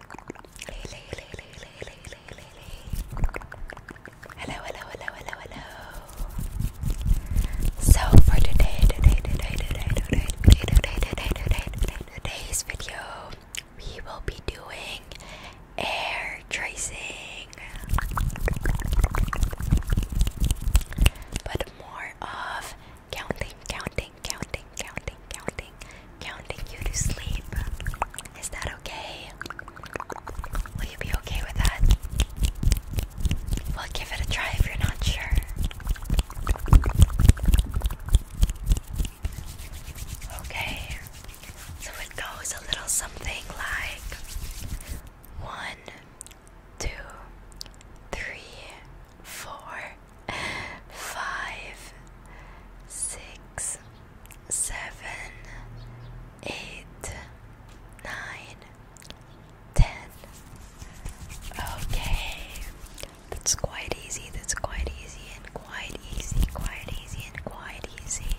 Hello, hello, hello, hello, hello. So for today, today, today, today, today, today, today, today, today, today, today's video, we will be doing air tracing, but more of counting, counting, counting, counting, counting, counting you to sleep. Is that okay? Will you be okay with that? Well, give it a try if you're not sure. Okay, so it goes a little something like one, two, three, four, five, six, seven, eight, nine, ten. Okay, that's quite easy, that's quite easy, and quite easy, quite easy, and quite easy.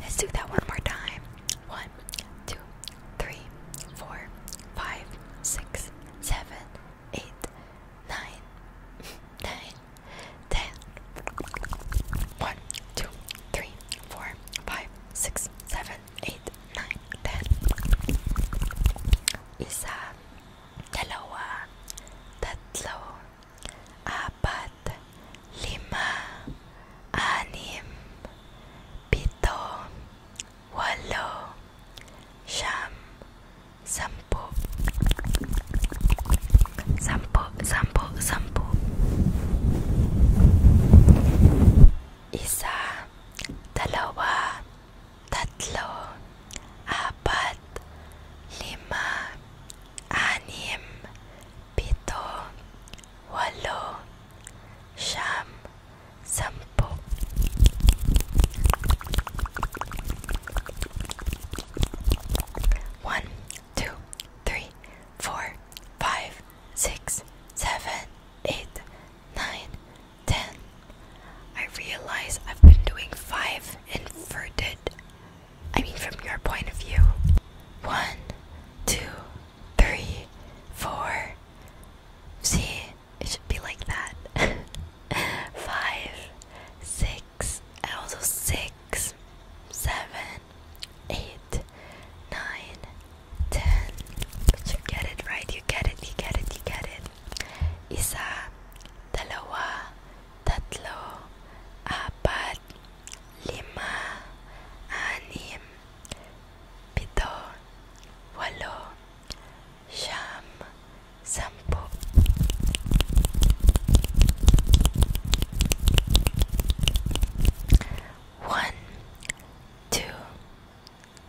Let's do that one more time. One, two, three, four, five, six, seven, Eight, nine, ten, one, two, three, eight, nine, nine, ten, one, two, three, four, five, six, seven, eight, nine, ten. Isa, dalawa, tatlo, apat, lima, anim, pito, walo, siyam, sampu, sampu, sampu, sampu, isa, dalawa, tatlo, apat, lima, anim, pito, walo, siyam, Sampo One, two, three, four, five, six, seven, eight, nine, ten. I realize I've been doing five inverted. I mean, from your point of view. One, two, three, four. See, it should be like that. Five, six, also six, seven, eight, nine, ten. But you get it right. You get it. You get it. You get it. Isa, dalawa, tatlo, apat, lima, anim, pito, walo. Sham Sampo One, two,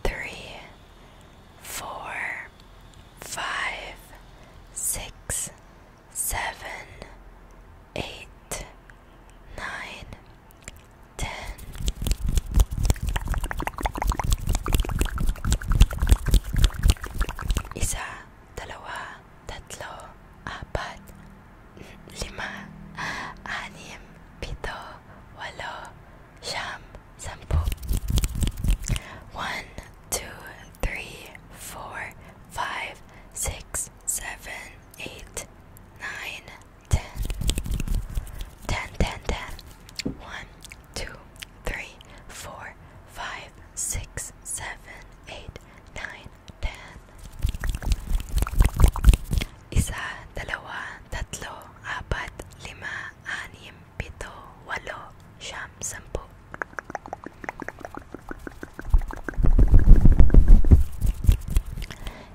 three, four, five, six, seven, eight, nine, ten. Isa, dalawa, tatlo, apat, lima, anim, pito, walo, siyam, sampu. One, two, three, four, five, six, seven, eight, nine, 10 10 10 1 2 3 4 5 6 7 8 9 10 Isa, dalawa, tatlo, apat, lima, anim, pito, walo, siyam, sampu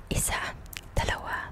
Isa, dalawa,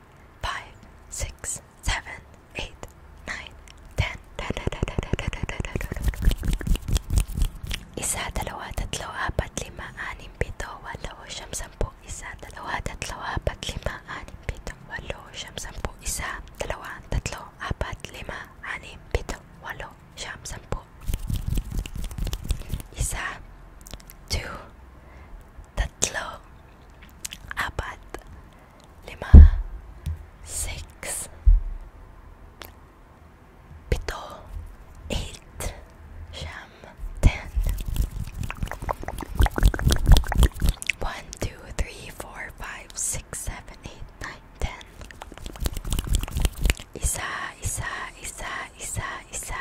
five, six, seven, eight, nine, ten. Isa, dalawa, tatlo, apat, lima, anim, pito, walo, siyam, sampu, isa, dalawa, tatlo, apat, lima, anim, pito, walo, siyam, sampu, isa, dalawa, tatlo, apat, lima, anim, pito, walo, siyam, sampu. Isa, two, tatlo, five, six, seven, eight, nine, ten. Isa, isa, isa, isa, isa.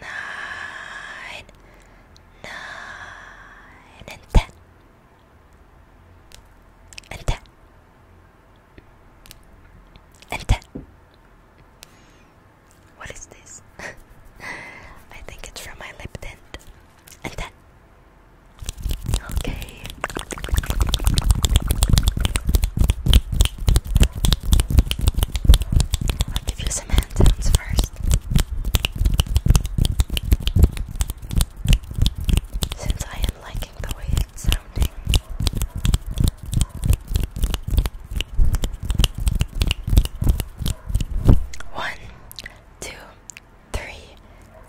nine, nine, and ten, and ten, and ten. What is this? I think it's from my lip tint. And ten. Okay. I'll give you some hand sounds first. Since I am liking the way it's sounding. One, two, three,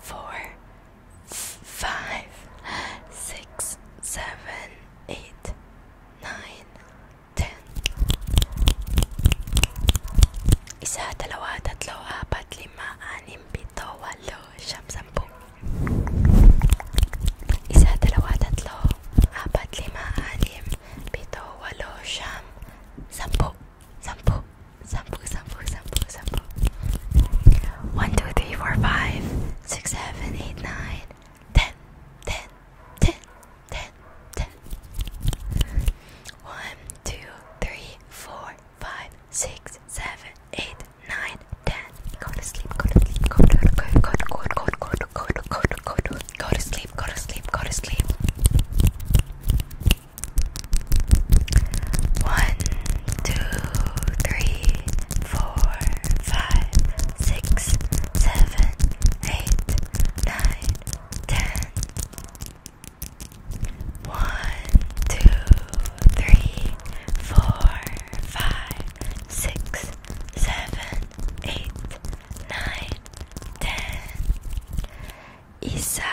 four, five, six, seven, eight, nine, ten isa, dalawa, tatlo, apat, lima, anim, pito, walo, siyam, sampu isa, dalawa, tatlo, apat, lima, anim, pito, walo, siyam, sampu sampu, sampu, sampu, sampu, sampu 1, 2, 3, 4, 5, 6, 7, 8, 9 10, ten, ten, ten, ten. One, two, three, four, five, six, seven, eight, nine, ten. Go to sleep, go to sleep, go to go to go to go to go to go to go to go to go to go to sleep, go to sleep, go to sleep. One, two, three, four, five, six, seven, eight, nine, ten. One, two, three, four, five, six, seven, eight, nine, ten. Isa,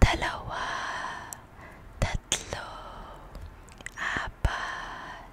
dalawa, tatlo, apat,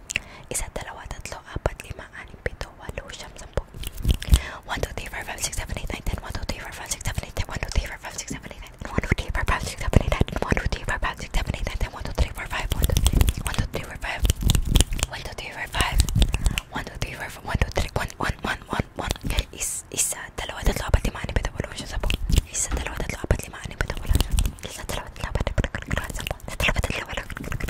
Isa, dalawa, tatlo, apat, lima, anim, pito, walo, siyam, sampu. 1, 2, 3, 4, 5, 6, 7, 8, 9, 10. 1, 2, 3, 4, 5, 6, 7, 8, 9. 1, 2, 3, 4, 5, 6, 7, 8, 9. 1, 2, 3, 4, 5, 6, 7, 8, 9. 1, 2, 3, 4, 5, 6, 7, 8, 9. 10. 1, 2, 3, 4, 5. 1, 2, 3, 1, 2, 3, 4, 5. 1, 2, 3, 4, 5. 1, 2, 3, 4, 5. 1, 2, 3, 1, 1, 1, 1, 1. Is, isa, dalawa, tatlo, apat, lima, anim, pito, walo, siyam, sampu. Isa, dalawa, tatlo, apat, lima, anim, pito, walo, siyam. Isa, dalawa, tatlo, apat, lima, anim, pito, walo, siyam. Isa, dalawa, tatlo, apat, lima, anim, pito, walo, siyam. Isa, dalawa, tatlo, apat, lima, anim, pito, walo, siyam.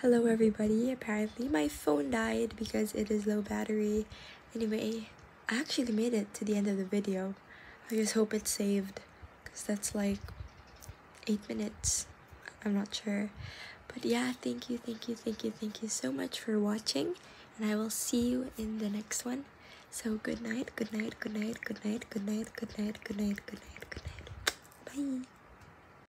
Hello everybody, apparently my phone died because it is low battery. Anyway, I actually made it to the end of the video. I just hope it's saved because that's like 8 minutes. I'm not sure. But yeah, thank you, thank you, thank you, thank you so much for watching. And I will see you in the next one. So good night, good night, good night, good night, good night, good night, good night, good night, good night. Bye.